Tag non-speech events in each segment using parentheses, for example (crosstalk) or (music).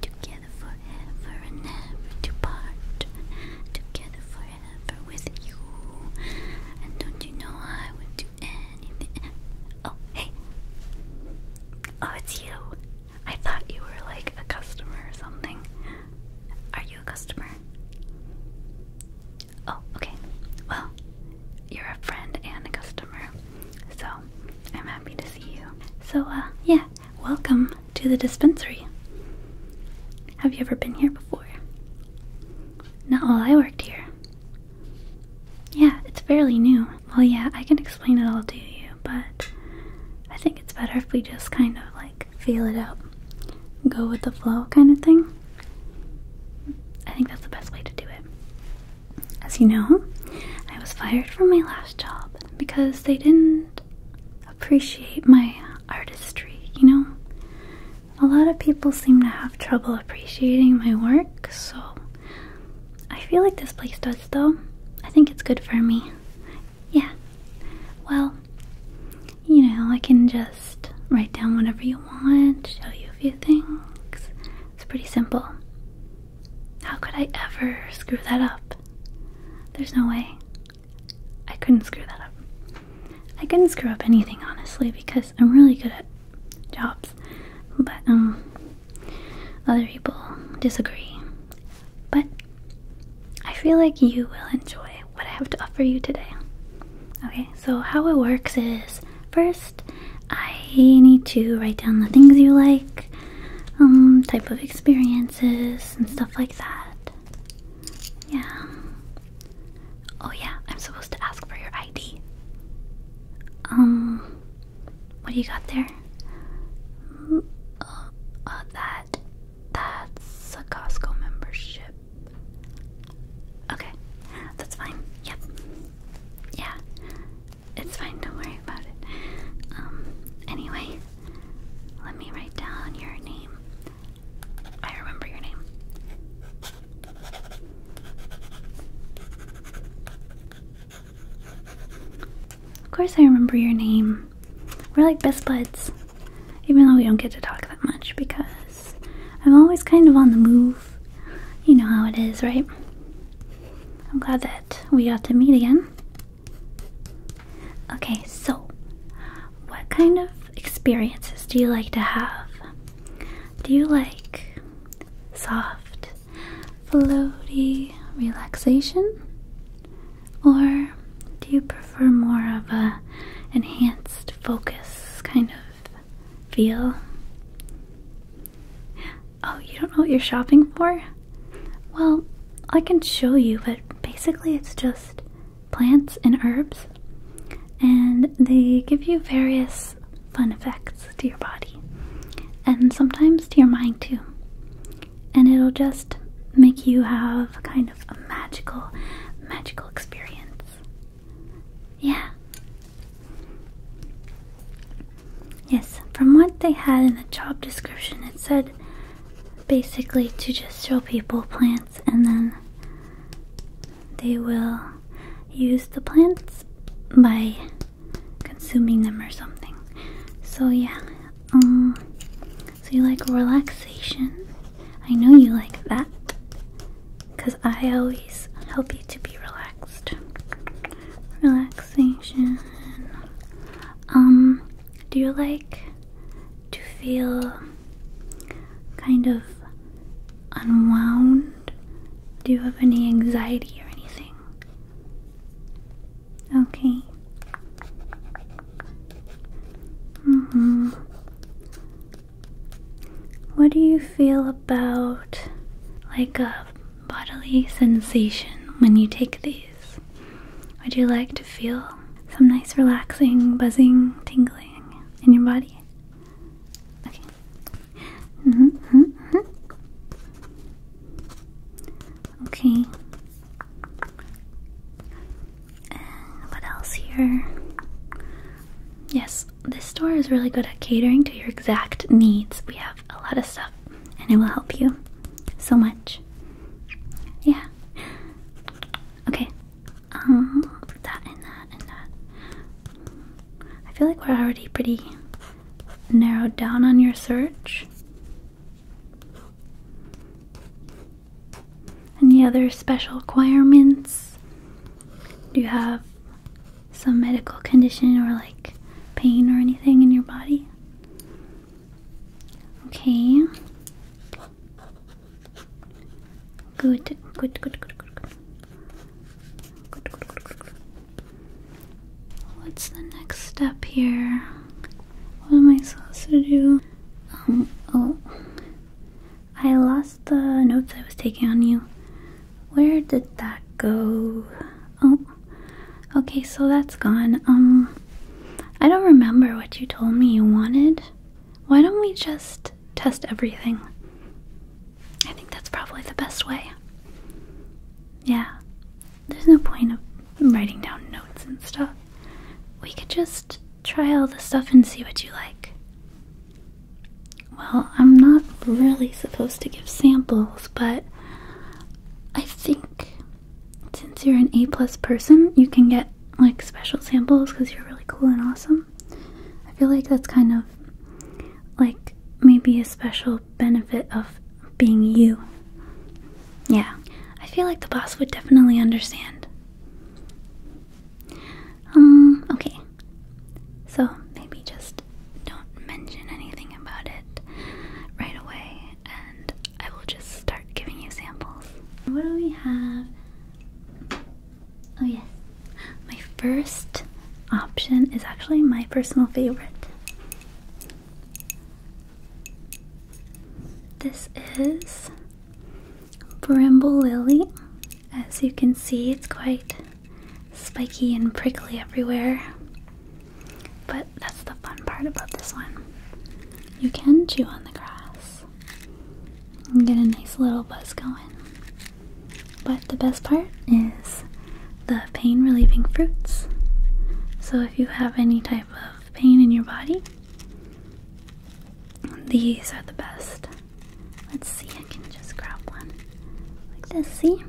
Together forever and never to part. Together forever with you. And don't you know I would do anything? Oh, hey. Oh, it's you. I thought you were like a customer or something. Are you a customer? Oh, okay. Well, you're a friend and a customer. So, I'm happy to see you. So, uh, yeah, Welcome to the dispensary. Have you ever been here before? Not while I worked here. Yeah, it's fairly new. Well, yeah, I can explain it all to you, but I think it's better if we just kind of like feel it out, go with the flow kind of thing. I think that's the best way to do it. As you know, I was fired from my last job because they didn't appreciate my artistry, you know? A lot of people seem to have trouble appreciating my work, so I feel like this place does, though. I think it's good for me. Yeah. Well, you know, I can just write down whatever you want, show you a few things. It's pretty simple. How could I ever screw that up? There's no way. I couldn't screw that up. I couldn't screw up anything, honestly, because I'm really good at jobs. But, um, other people disagree. But I feel like you will enjoy what I have to offer you today. Okay, so how it works is first, I need to write down the things you like um, type of experiences and stuff like that. Yeah. Oh, yeah, I'm supposed to ask for your ID. Um, what do you got there? Oh, that, that's a Costco membership. Okay, that's fine. Yep. Yeah. It's fine, don't worry about it. Um, anyway, let me write down your name. I remember your name. Of course, I remember your name. We're like best buds, even though we don't get to talk that much because I'm always kind of on the move. You know how it is, right? I'm glad that we got to meet again. Okay, so what kind of experiences do you like to have? Do you like soft, floaty relaxation? Or do you prefer more of a enhanced focus kind of feel? Oh, you don't know what you're shopping for? Well, I can show you, but basically it's just plants and herbs, and they give you various fun effects to your body and sometimes to your mind too. And it'll just make you have kind of a magical, magical experience. Yeah. Yes, from what they had in the job description, it said basically to just show people plants and then they will use the plants by consuming them or something. So yeah, um, so you like relaxation? I know you like that cuz I always help you to be relaxed. Relax. Um, do you like to feel kind of unwound? Do you have any anxiety or anything? Okay. Mm-hmm. What do you feel about like a bodily sensation when you take these? Would you like to feel some nice relaxing, buzzing, tingling in your body? Okay. Mm-hmm, mm-hmm. Okay. what else here? Yes, this store is really good at catering to your exact needs. We have a lot of stuff and it will help you so much. Yeah. Okay. Um, that and that and that. I feel like we're already pretty narrowed down on your search. Any other special requirements? Do you have some medical condition or like pain or anything in your body? Okay. Good, good, good, good, good, good. Good, good, What's the next step here? What am I supposed to do? Um, oh. I lost the notes I was taking on you. Where did that go? Oh, okay, so that's gone. Um, I don't remember what you told me you wanted. Why don't we just test everything? I think that's probably the best way. Yeah, there's no point of writing down notes and stuff. We could just try all the stuff and see what you like. Well, I'm not really supposed to give samples, but I think since you're an A plus person, you can get like special samples because you're really cool and awesome. I feel like that's kind of like maybe a special benefit of being you. Yeah, I feel like the boss would definitely understand. Um, okay. So maybe just don't mention anything about it right away I will just start giving you samples. What do we have? Oh, yes. My first option is actually my personal favorite. This is Bramble Lily. As you can see, it's quite spiky and prickly everywhere. But that's the fun part about this one. You can chew on the grass and get a nice little buzz going. But the best part is the pain relieving fruits. So if you have any type of pain in your body, these are the best. Let's see, I can just grab one like this. See?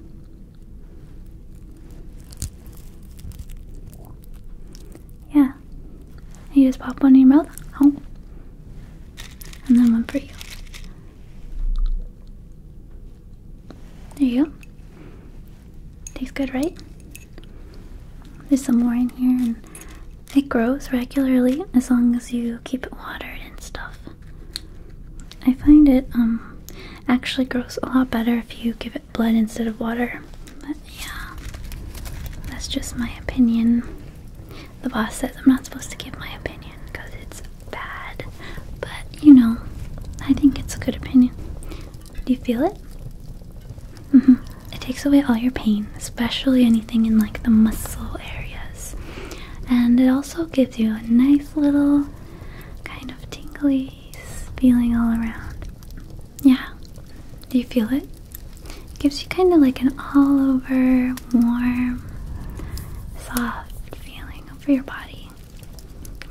Yeah. You just pop one in your mouth. Oh. And then one for you. There you go. Tastes good, right? There's some more in here and it grows regularly as long as you keep it watered and stuff. I find it um actually grows a lot better if you give it blood instead of water. But yeah, that's just my opinion. The boss says I'm not supposed to give my opinion because it's bad, but you know, I think it's a good opinion. Do you feel it? Mm -hmm. It takes away all your pain, especially anything in like the muscle areas, and it also gives you a nice little kind of tingly feeling all around. Yeah, do you feel it? It gives you kind of like an all over warm, soft feeling over your body.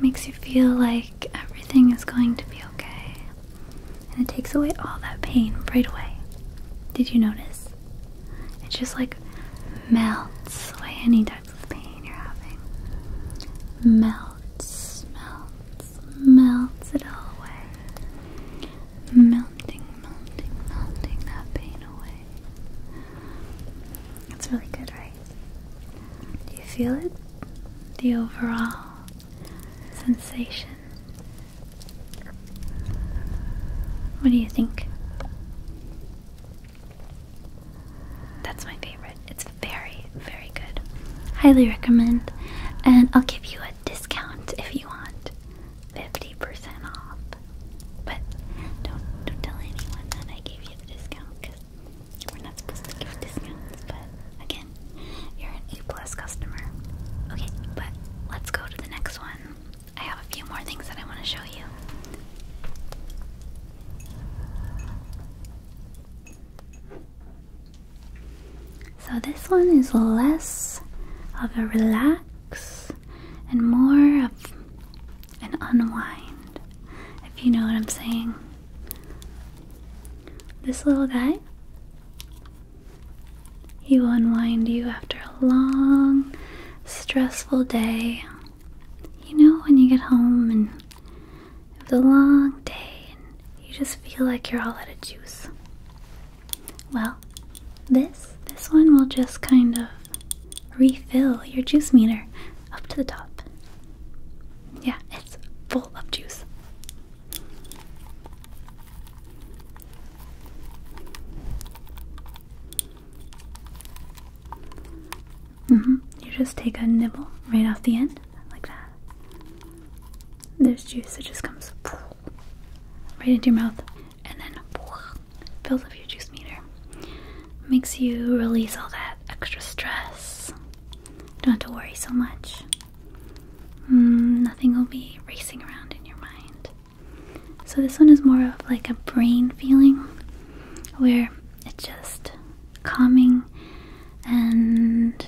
makes you feel like everything is going to be okay. And it takes away all that pain right away. Did you notice? It just like melts away any type pain you're having melts, melts, melts it all away. Melting, melting, melting that pain away. That's really good, right? Do you feel it? The overall sensation. What do you think? That's my favorite. It's very, very good. Highly recommend. And I'll give you a discount if you want. 50% off. But don't, don't tell anyone that I gave you the discount because we're not supposed to give discounts. But again, you're an A plus customer. Okay, but let's go to the next one. I have a few more things that I want to show you. So this one is less of a relax and more of an unwind, if you know what I'm saying. This little guy, he will unwind you after a long, stressful day. You know, when you get home and it was a long day, and you just feel like you're all out of juice. Well, this this one will just kind of refill your juice meter up to the top. Yeah, it's full of juice. Mm -hmm. You just take a nibble right off the end, like that. There's juice that just comes right into your mouth, and then fills up your juice meter. Makes you release all that extra stress. Don't have to worry so much. Mm, nothing will be racing around in your mind. So this one is more of like a brain feeling, where it just calming and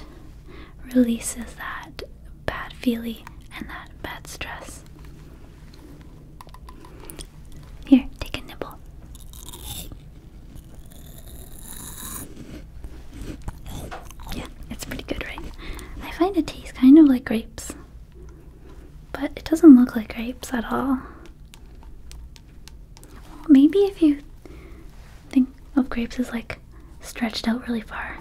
releases that bad feeling and that bad stress. Here, take a nibble. Yeah, it's pretty good, right? I find it tastes kind of like grapes, but it doesn't look like grapes at all maybe if you think of grapes as like stretched out really far.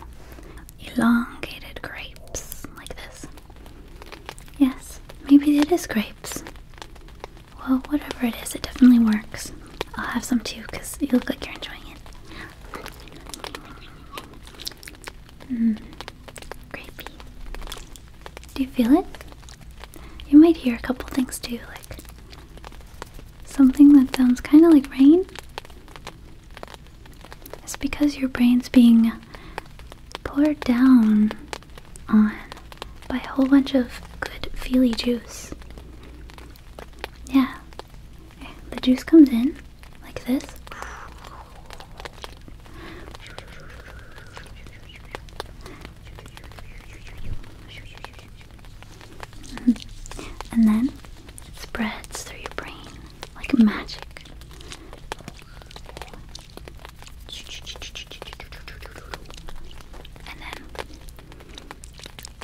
Elongated grapes, like this. Yes, maybe it is grapes. Well, whatever it is, it definitely works. I'll have some too because you look like you're enjoying it. Mmm, grapey. Do you feel it? You might hear a couple things too, like something that sounds kind of like rain. It's because your brain's being poured down on by a whole bunch of good feely juice. Yeah. The juice comes in like this. Mm-hmm. and then it spreads through your brain like magic. And then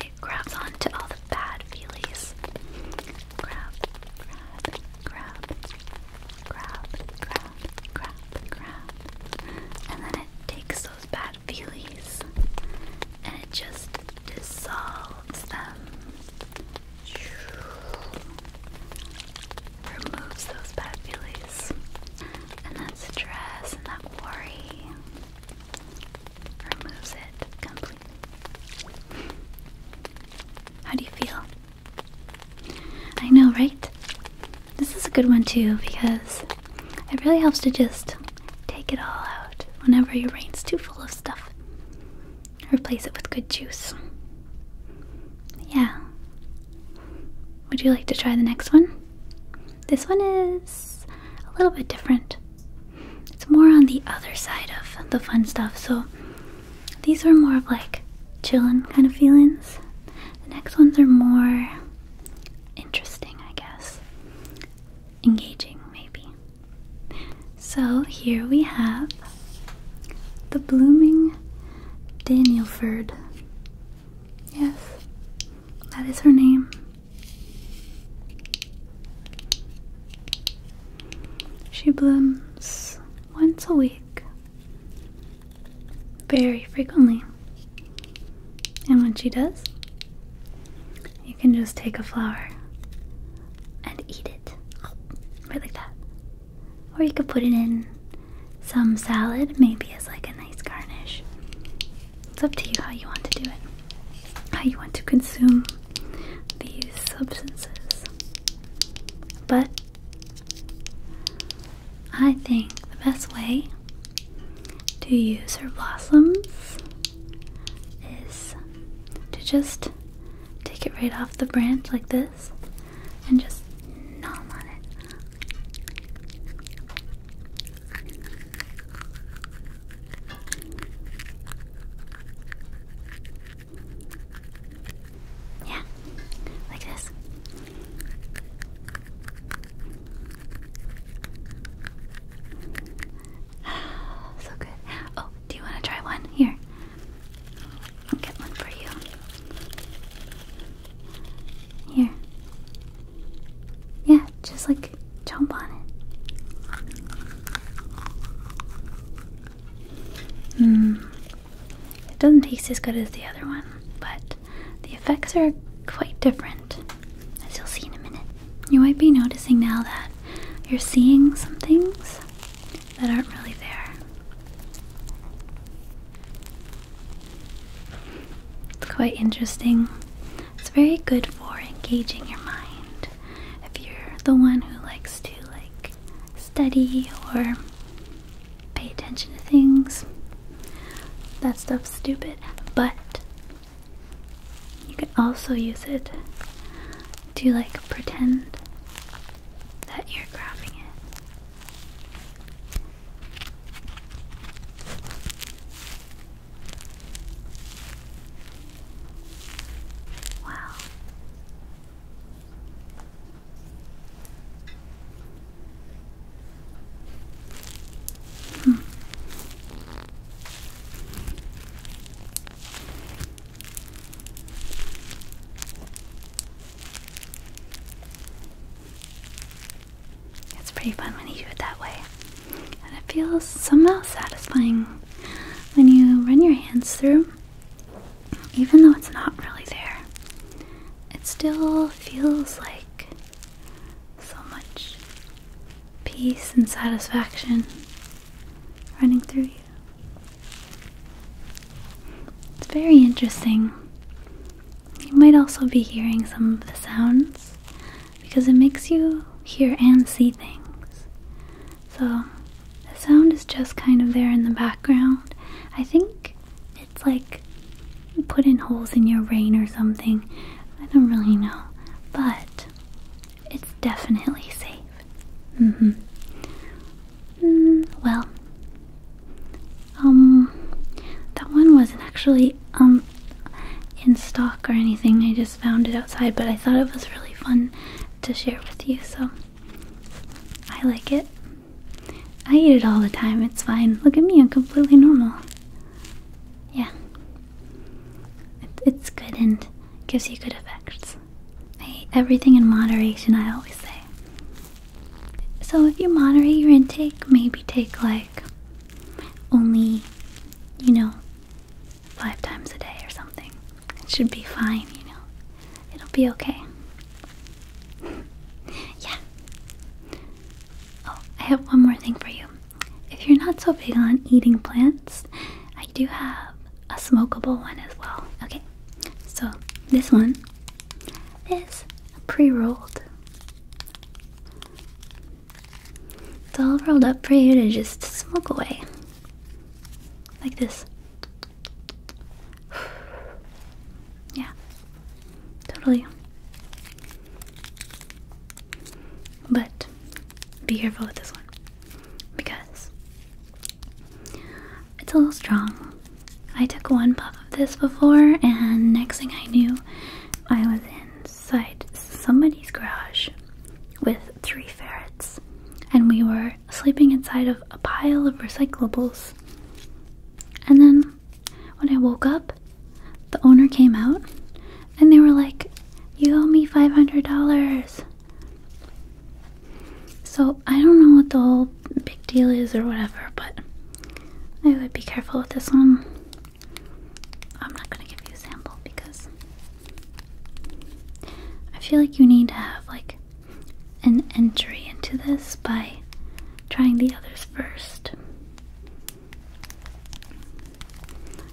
it grabs onto all the bad feelies. Grab, grab, grab, grab, grab, grab, grab. And then it takes those bad feelings, and it just dissolves them, removes those bad feelies, and that stress and that worry removes it completely. How do you feel? I know, right? This is a good one too because it really helps to just take it all out whenever your brain's too full of stuff. Replace it with good juice. Yeah. Would you like to try the next one? This one is a little bit different. It's more on the other side of the fun stuff, so these are more of like chillin' kind of feelings. The next ones are more interesting, I guess. Engaging, maybe. So here we have the blooming Danielford. Yes, that is her name. She blooms once a week, very frequently. And when she does, you can just take a flower and eat it. Right like that. Or you could put it in some salad, maybe as like a nice garnish. It's up to you how you want to do it, how you want to consume these substances. But I think the best way to use her blossoms is to just take it right off the branch like this and just nom on it. Yeah, like this. (sighs) so good. Oh, do you want to try one? Here. I'll get one for you. Here. Yeah, just like jump on it. Hmm. It doesn't taste as good as the other one, but the effects are quite different, as you'll see in a minute. You might be noticing now that you're seeing some things that aren't really there. It's quite interesting. It's very good for engaging your mind. If you're the one who likes to like study or pay attention to things. That stuff's stupid, but you can also use it to like pretend that you're grabbing it. Wow. Hmm. It's pretty fun when you do it that way. And it feels somehow satisfying when you run your hands through, even though it's not really there. It still feels like so much peace and satisfaction running through you. It's very interesting. You might also be hearing some of the sounds because it makes you hear and see things. So the sound is just kind of there in the background. I think it's like putting holes in your brain or something. I don't really know. But it's definitely safe. Mm-hmm. Mm hmm. well, um, that one wasn't actually, um, in stock or anything. I just found it outside, but I thought it was really fun to share with you, so I like it. I eat it all the time, it's fine. Look at me, I'm completely normal. Yeah. it's good and gives you good effects. Hey, everything in moderation, I always say. So if you moderate your intake, maybe take like only, you know, five times a day or something. It should be fine, you know. It'll be okay. (laughs) yeah. Oh, I have one more thing for you. If you're not so big on eating plants, I do have a smokable one as well. Okay, so this one is pre rolled. It's all rolled up for you to just smoke away. Like this. (sighs) yeah, Totally. But be careful with this one because it's a little strong. I took one puff of this before, and next thing I knew, I was inside somebody's garage with three ferrets, and we were sleeping inside of a pile of recyclables. And then when I woke up, the owner came out and they were like, You owe me $500. So I don't know what the whole big deal is or whatever, but I would be careful with this one. I'm not going to give you a sample because I feel like you need to have like an entry into this by trying the others first.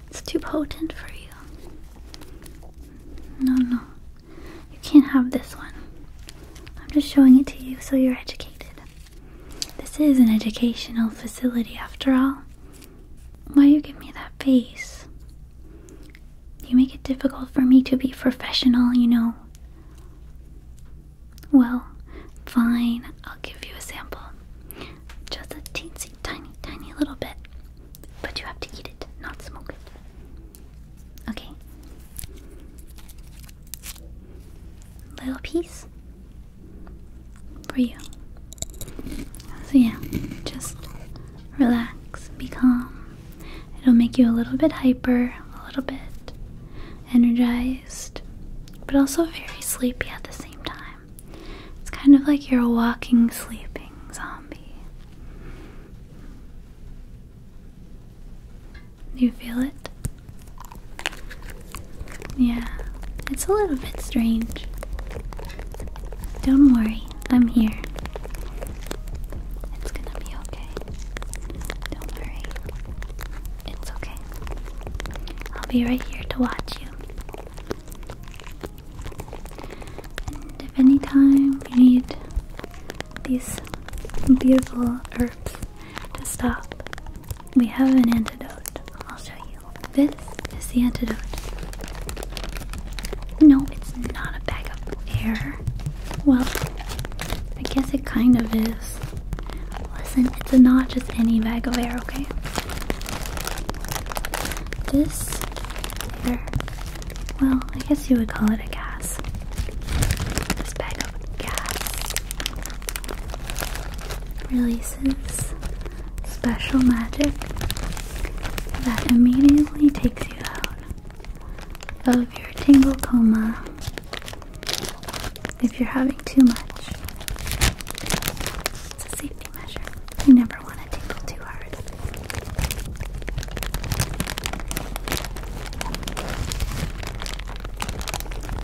It's too potent for you. No, no. You can't have this one. I'm just showing it to you so you're educated. This is an educational facility after all. Why you give me that face? You make it difficult for me to be professional, you know. Well, fine, I'll give you a sample. Just a teensy tiny, tiny little bit. But you have to eat it, not smoke it. Okay. Little piece for you. So, yeah, just relax, be calm. It'll make you a little bit hyper, a little bit energized, but also very sleepy at the same time. It's kind of like you're a walking, sleeping zombie. you feel it? Yeah, it's a little bit strange. Don't worry, I'm here. It's gonna be okay. Don't worry. It's okay. I'll be right here to watch you. And if any time you need these beautiful herbs to stop, we have an antidote. I'll show you. This is the antidote. No, it's not a bag of air. Well, I guess it kind of is. Listen, it's a not just any bag of air, okay? This well, I guess you would call it a gas. This bag of gas releases special magic that immediately takes you out of your tangle coma if you're having too much. It's a safety measure. You never want to tingle too hard.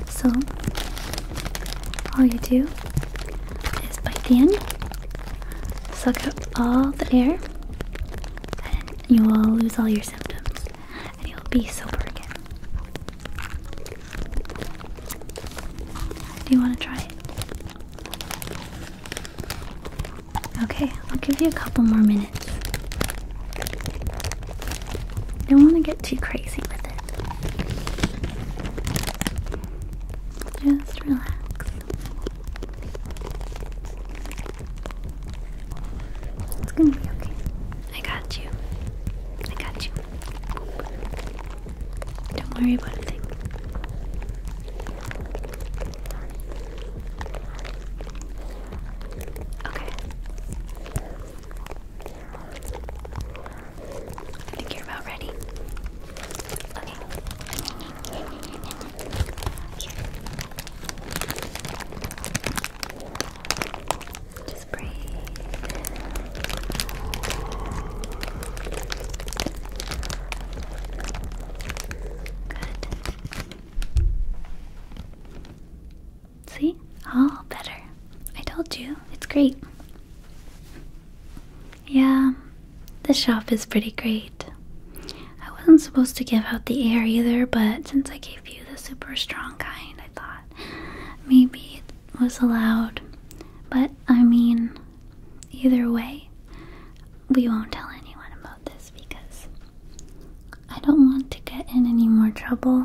So, all you do is bite the end, suck out all the air, and you will lose all your symptoms and you'll be sober again. Do you want to try it? Okay, I'll give you a couple more minutes. Don't want to get too crazy with it. Just relax. It's gonna be okay. I got you. I got you. Don't worry about a thing. Okay. I think you're about ready. Okay. Just breathe. Good. See? All better. I told you, it's great. Yeah, the shop is pretty great. I wasn't supposed to give out the air either, but since I gave you the super strong kind, I thought. Maybe it was allowed. But I mean, either way, we won't tell anyone about this because I don't want to get in any more trouble.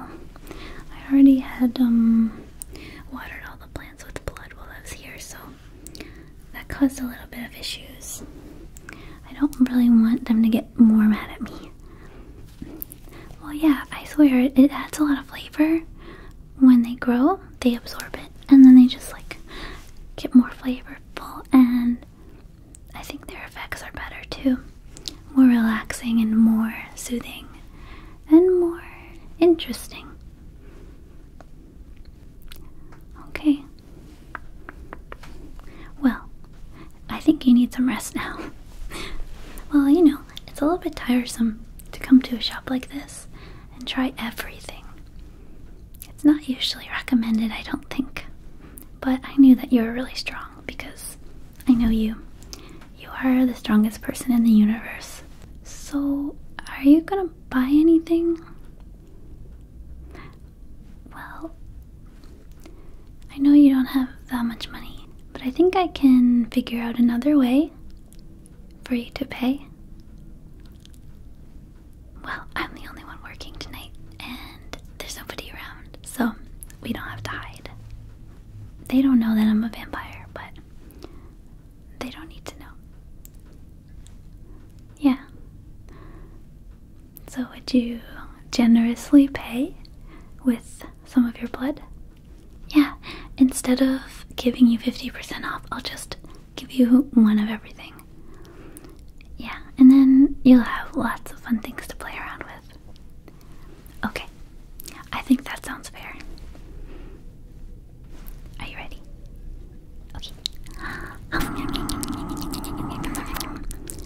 I already had um watered all the plants with blood while I was here, so that caused a little bit of issues. I don't really want them to get more mad at me. Well, yeah, I swear it, adds a lot of flavor. When they grow, they absorb it and then they just like get more flavorful, and I think their effects are better too. More relaxing and more soothing and more interesting. Okay. Well, I think you need some rest now. well, you know, it's a little bit tiresome to come to a shop like this and try everything. It's not usually recommended, I don't think. But I knew that you were really strong because I know you. You are the strongest person in the universe. So, are you gonna buy anything? Well, I know you don't have that much money, but I think I can figure out another way for you to pay. Well, I'm the only one working tonight, and there's nobody around, so we don't have to hide. They don't know that I'm a vampire, but they don't need to know. Yeah. So, would you generously pay with some of your blood? Yeah, instead of giving you 50% off, I'll just give you one of everything. Yeah, and then you'll have lots of fun things to play around with. Okay, I think that sounds fair. Are you ready? Okay.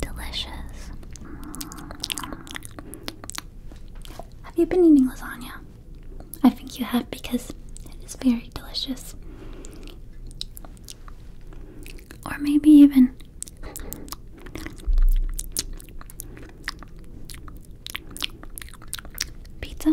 Delicious. Have you been eating lasagna? I think you have because it is very delicious. Or maybe even pizza.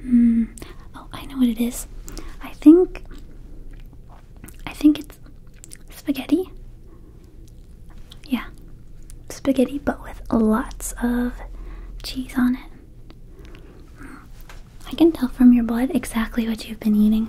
Hmm. Oh, I know what it is. I think. I think it's spaghetti. Yeah, spaghetti, but with lots of cheese on it. I can tell from your blood exactly what you've been eating.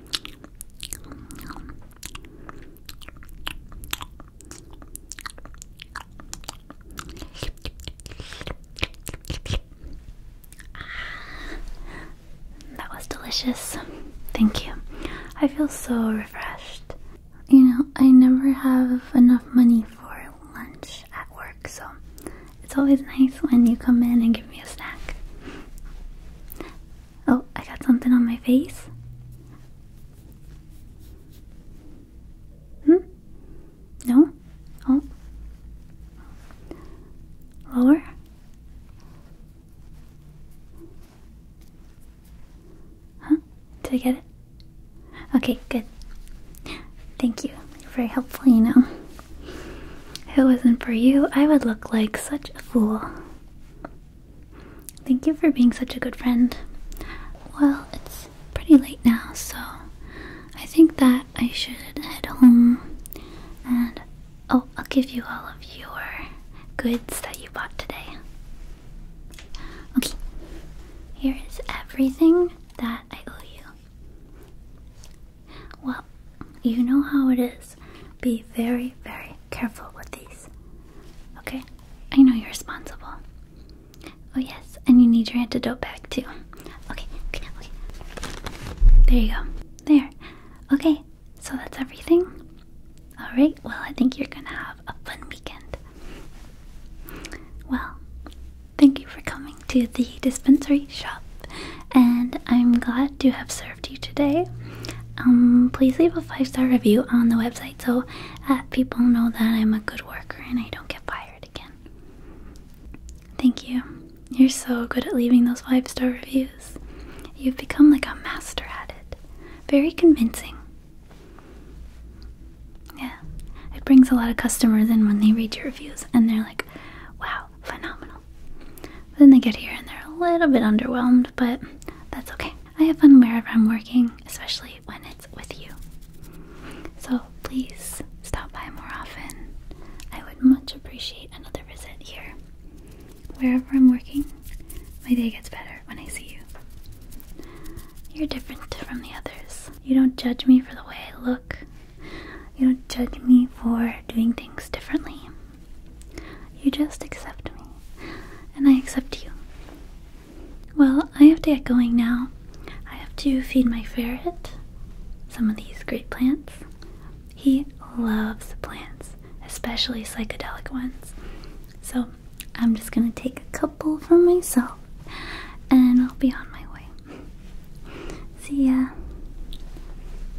Ah, that was delicious. Thank you. I feel so refreshed. You know, I never have enough money for lunch at work, so it's always nice when you come in and give me a snack. Oh, I got something on my face. Hmm? No? Oh. Lower? Huh? Did I get it? Okay, good. Thank you. very helpful, you know. If it wasn't for you, I would look like such a fool. Thank you for being such a good friend. Well, it's pretty late now, so I think that I should head home. And oh, I'll give you all of your goods that you bought today. Okay, here is everything that I owe you. Well, you know how it is. Be very, very careful with these. Okay? I know you're responsible. Oh, yes, and you need your antidote back too. Okay, okay, okay. There you go. There. Okay, so that's everything. Alright, well, I think you're gonna have a fun weekend. Well, thank you for coming to the dispensary shop and I'm glad to have served you today. Um, please leave a five star review on the website so that people know that I'm a good worker and I don't get fired again. Thank you. You're so good at leaving those five star reviews. You've become like a master at it. Very convincing. Yeah, it brings a lot of customers in when they read your reviews and they're like, wow, phenomenal. But then they get here and they're a little bit underwhelmed, but that's okay. I have fun wherever I'm working, especially when it's with you. So please stop by more often. I would much appreciate another visit here. Wherever I'm working, my day gets better when I see you. You're different from the others. You don't judge me for the way I look. You don't judge me for doing things differently. You just accept me, and I accept you. Well, I have to get going now. I have to feed my ferret some of these great plants. He loves plants, especially psychedelic ones. So I'm just gonna take a couple for myself and I'll be on my way. See ya.